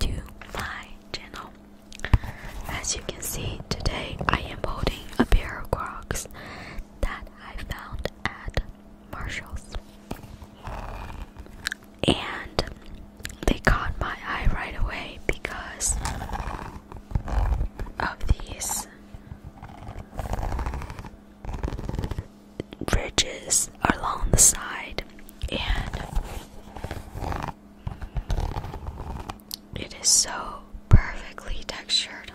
to my channel. As you can see, today I am holding a pair of Crocs that I found at Marshall's. And they caught my eye right away because of these ridges along the side and it is so perfectly textured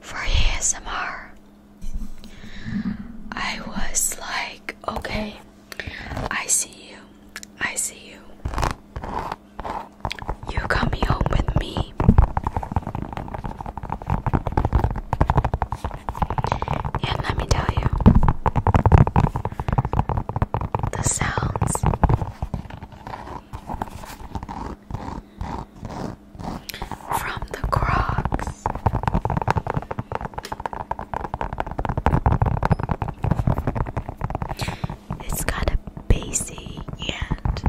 for ASMR. I was like, okay, I see you, I see you. You coming home with me. And let me tell you, the sounds. From the Crocs. It's got a bassy and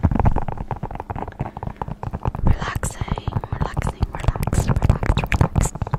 relaxing, relaxing, relaxed, relaxed, relaxed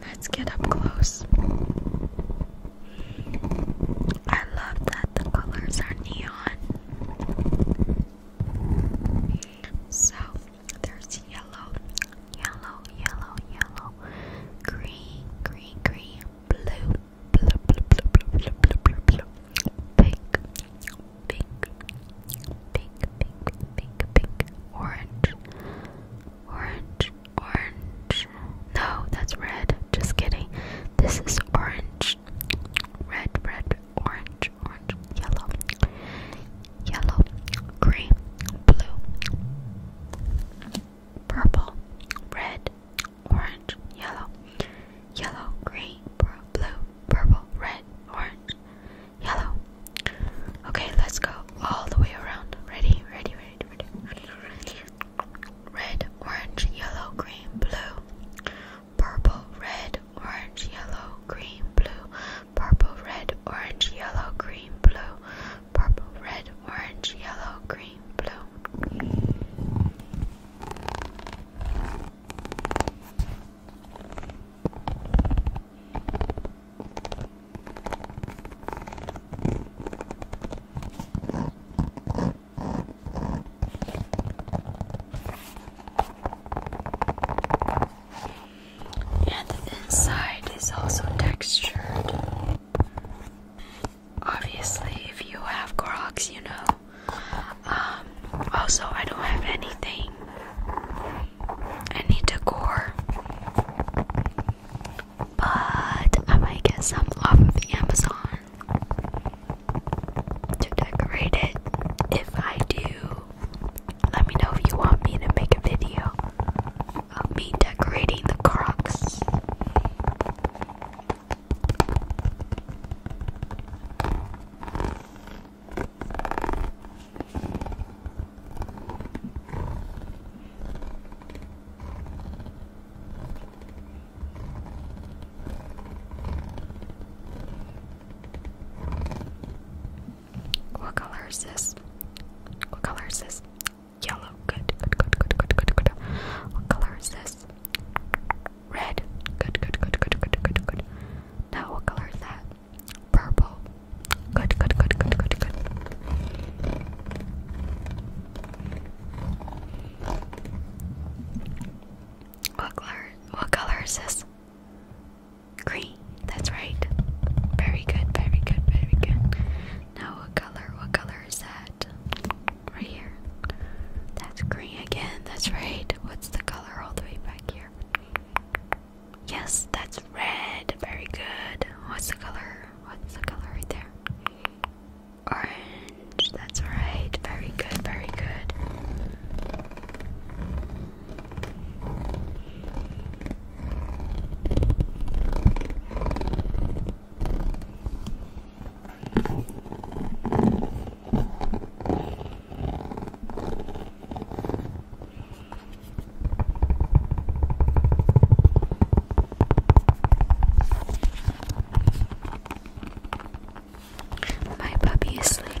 Let's get up close. I love that the colors are neon. So there's yellow, yellow, yellow, yellow, green, green, green, blue, blue, blue, blue, blue, blue, blue, blue, pink, pink, pink, pink, pink, pink, orange, orange, orange. No, that's red. Just kidding. This is orange. Red, red, orange, orange, yellow, yellow, green, blue, purple, red, orange, yellow, yellow, green, blue, purple, red, orange, yellow. Okay, let's go all the way around. Ready, ready, ready, ready, ready, ready, red, orange, yellow, green, blue, purple, red, orange, yellow, green, blue, purple, red, orange, yellow, green, blue, purple, red, orange, yellow, green, blue. And the inside is also textured. Obviously, if you have Clorox, you know. Um, also, I don't have anything. Any decor but I might get some off of Amazon to decorate it. If I do, let me know if you want me to make a video of me decorating the Crocs. What color is this? What color is this? Yellow. Good, good, good, good, good, good, good. What color is this? Red. Good, good, good, good, good, good, good. Now what color is that? Purple. Good, good, good, good, good, good. What color? What color is this? Green. That's right. Very good. Very good. Very good. Now, what color? What color is that? Right here. That's green again. That's right. What's the color all the way back here? Yes, that's red. Very good. What's the color? What's the color right there? Orange, that's right. Very good, very good. My puppy is sleeping.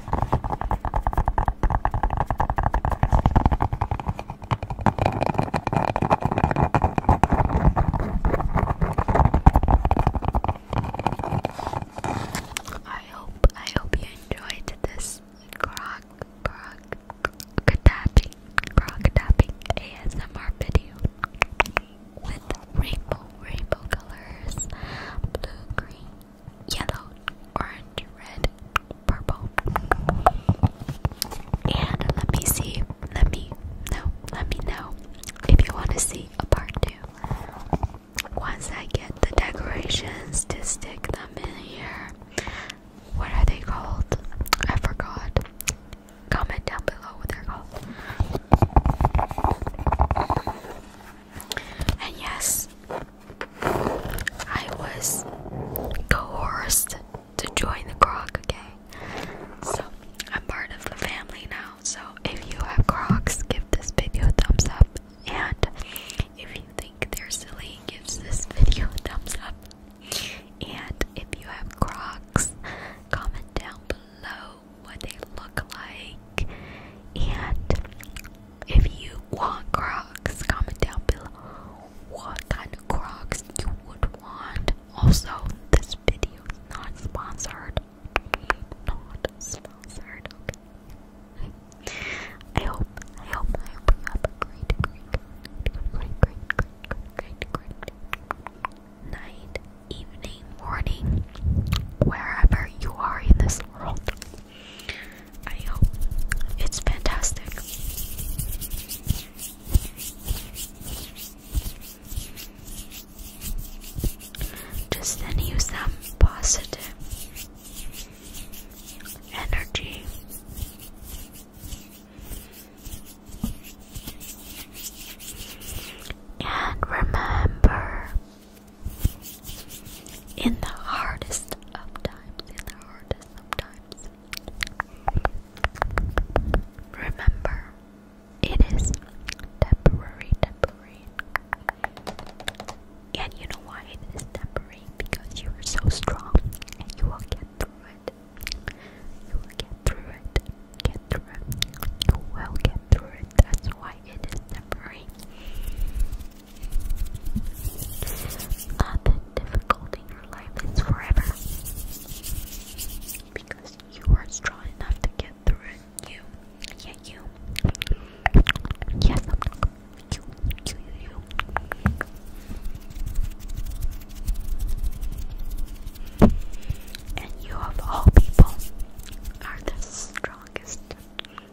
I hope I hope you enjoyed this croc croc tapping croc tapping ASMR video with rainbow rainbow colors blue green yellow, orange, red, purple. And let me see, let me know, let me know if you want to see a part two. Once I get the decorations to stick them in here, what are they called? I forgot. Comment down below what they're called. And yes, I was coerced to join the Croc gang. So I'm part of the family now. So if you have Crocs, give this video a thumbs up. And if you think they're silly, give this video a thumbs up. And if you have Crocs, comment down below what they look like. And if you want Crocs, comment down below what kind of Crocs you would want. Also, this video is not sponsored. Not sponsored, okay. I hope, I hope, I hope you have a great, great, great, great, great, great, great night, evening, morning, wherever you are in this world. I hope it's fantastic. Just then use them positive energy. And remember in the hardest of times, in the hardest of times. Remember, it is temporary, temporary. And you know why it is temporary? Because you are so strong and you will get through it. You will get through it. Get through it. You will get through it. That's why why it is temporary. Uh, the difficulty in your life is forever. Because you are strong enough to get through it. You. Yeah, you. Yes, I'm you. You, you, you. And you, of all people, are the strongest